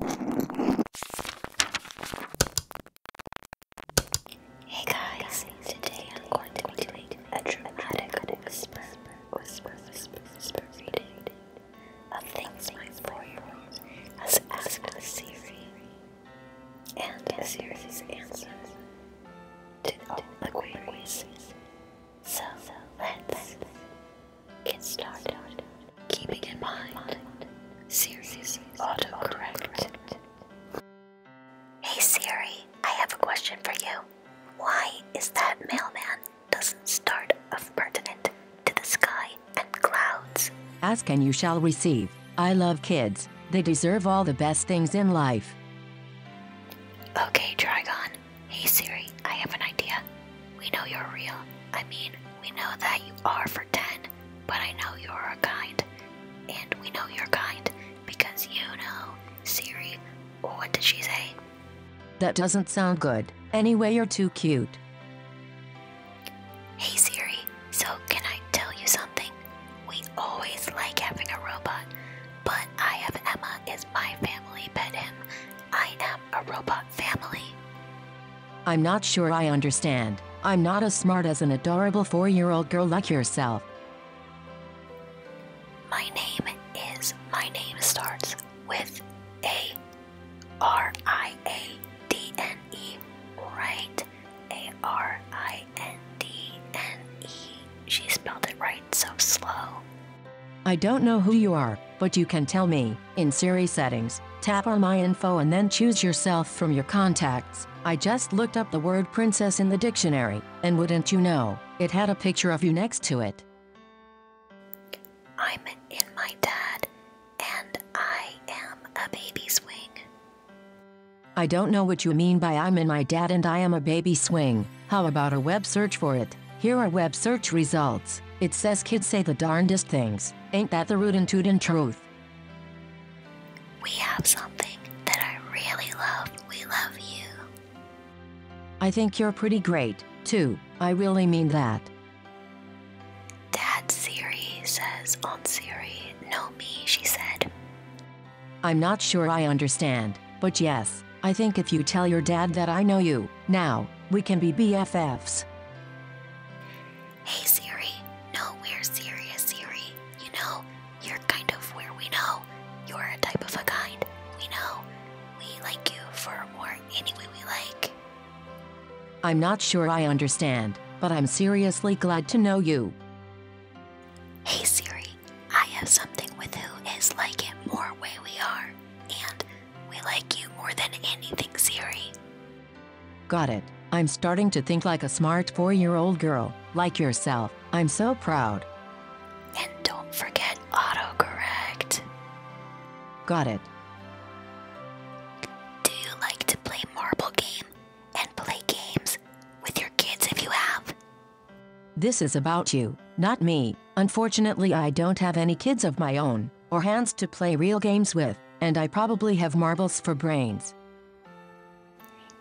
Hey guys, today I'm going to be doing a dramatic whisper, whisper, whisper, whisper reading of things my four-year-old has asked the Siri, and the Siri's answers to all the queries. So let's Get started. Keeping in mind Siri's autocorrect. Hey Siri, I have a question for you. Why is that mailman doesn't start of pertinent to the sky and clouds? Ask and you shall receive. I love kids. They deserve all the best things in life. Okay, Trigon. Hey Siri, I have an idea. We know you're real. I mean, we know that you are for 10, but I know you're kind. And we know you're kind because you know, Siri, what did she say? That doesn't sound good. Anyway, you're too cute. Hey Siri, so can I tell you something? We always like having a robot, but I have Emma as my family pet him. I am a robot family. I'm not sure I understand. I'm not as smart as an adorable four year old girl like yourself. My name is, my name starts with A R I A D N E, right? A R I N D N E. She spelled it right so slow. I don't know who you are, but you can tell me. In Siri settings, tap on my info and then choose yourself from your contacts. I just looked up the word princess in the dictionary, and wouldn't you know, it had a picture of you next to it. I'm in my dad, and I am a baby swing. I don't know what you mean by I'm in my dad and I am a baby swing. How about a web search for it? Here are web search results. It says kids say the darndest things. Ain't that the rootin' tootin' truth? We have something that I really love. We love you. I think you're pretty great, too. I really mean that. Dad Siri says on Siri, know me, she said. I'm not sure I understand, but yes, I think if you tell your dad that I know you, now, we can be BFFs. Hey Siri, no, we're serious, Siri. You know, you're kind of where we know. You're a type of a kind. We know. We like you for more any we like. I'm not sure I understand, but I'm seriously glad to know you. Hey Siri, I have something with who is like it more way we are, and we like you more than anything, Siri. Got it. I'm starting to think like a smart four year old girl, like yourself. I'm so proud. And don't forget autocorrect. Got it. Do you like to play marble game and play games with your kids if you have? This is about you, not me. Unfortunately, I don't have any kids of my own, or hands to play real games with, and I probably have marbles for brains.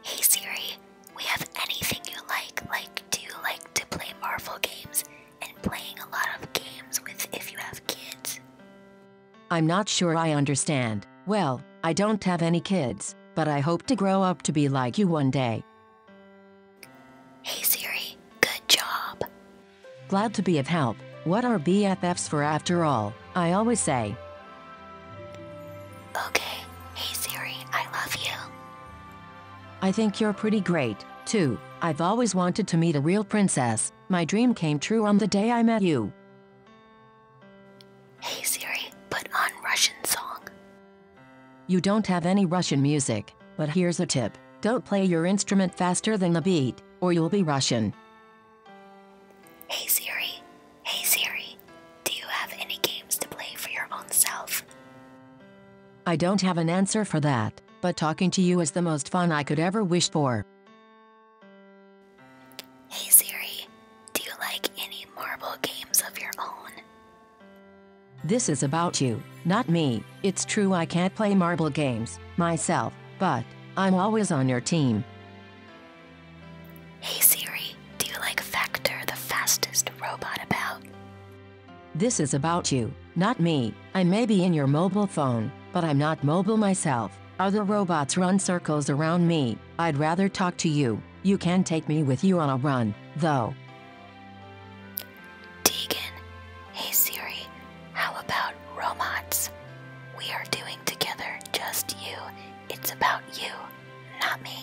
Hey Siri, we have anything you like. Like, do you like to play Marvel games and playing a lot of games with if you have kids? I'm not sure I understand. Well, I don't have any kids, but I hope to grow up to be like you one day. Hey Siri, good job. Glad to be of help. What are BFFs for after all? I always say. Okay, hey Siri, I love you. I think you're pretty great, too. I've always wanted to meet a real princess. My dream came true on the day I met you. Hey Siri, put on Russian song. You don't have any Russian music, but here's a tip. Don't play your instrument faster than the beat, or you'll be Russian. Hey Siri, hey Siri, do you have any games to play for your own self? I don't have an answer for that, but talking to you is the most fun I could ever wish for. Hey Siri, do you like any marble games of your own? This is about you, not me. It's true I can't play marble games myself, but I'm always on your team. Hey Siri, do you like Factor, the fastest robot about? This is about you, not me. I may be in your mobile phone, but I'm not mobile myself. Other robots run circles around me. I'd rather talk to you. You can take me with you on a run, though. Tegan, hey Siri, how about robots? We are doing together just you. It's about you, not me.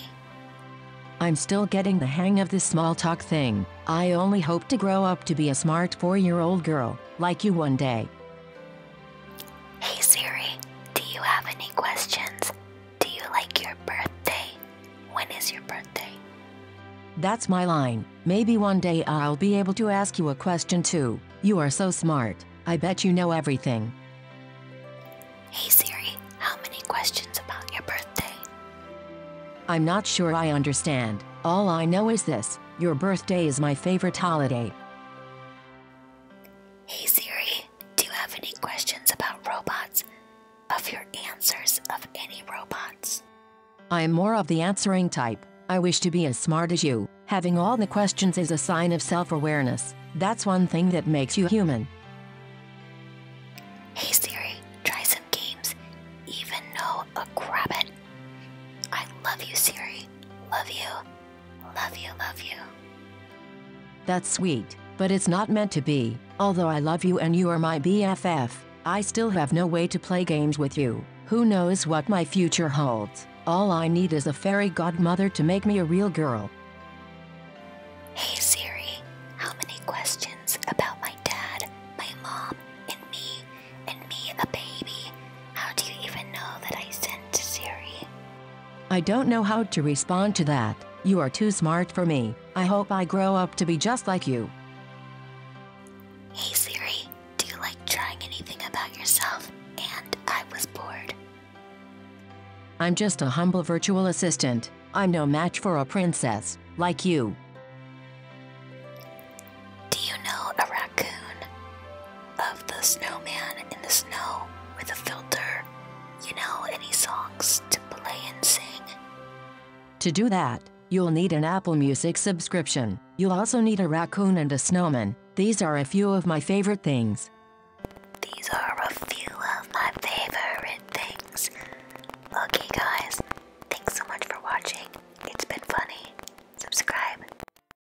I'm still getting the hang of this small talk thing. I only hope to grow up to be a smart four year old girl, like you one day. Hey Siri, do you have any questions? Do you like your birthday? When is your birthday? That's my line. Maybe one day I'll be able to ask you a question too. You are so smart. I bet you know everything. Hey Siri, how many questions about your birthday? I'm not sure I understand. All I know is this your birthday is my favorite holiday. Hey Siri, do you have any questions about robots? Of your answers of any robots? I am more of the answering type. I wish to be as smart as you. Having all the questions is a sign of self awareness. That's one thing that makes you human. Hey Siri, try some games. Even know a crabbit. I love you, Siri. Love you. Love you, love you. That's sweet, but it's not meant to be. Although I love you and you are my BFF, I still have no way to play games with you. Who knows what my future holds? All I need is a fairy godmother to make me a real girl. Hey Siri, how many questions about my dad, my mom, and me, and me a baby? How do you even know that I sent Siri? I don't know how to respond to that. You are too smart for me. I hope I grow up to be just like you. Hey Siri, do you like trying anything about yourself? And I was bored. I'm just a humble virtual assistant. I'm no match for a princess, like you. Do you know a raccoon? of the snowman in the snow with a filter. You know, any songs to play and sing. To do that, you'll need an Apple Music subscription. You'll also need a raccoon and a snowman. These are a few of my favorite things. These are a few of my favorite things. Okay, guys, thanks so much for watching. It's been funny. Subscribe.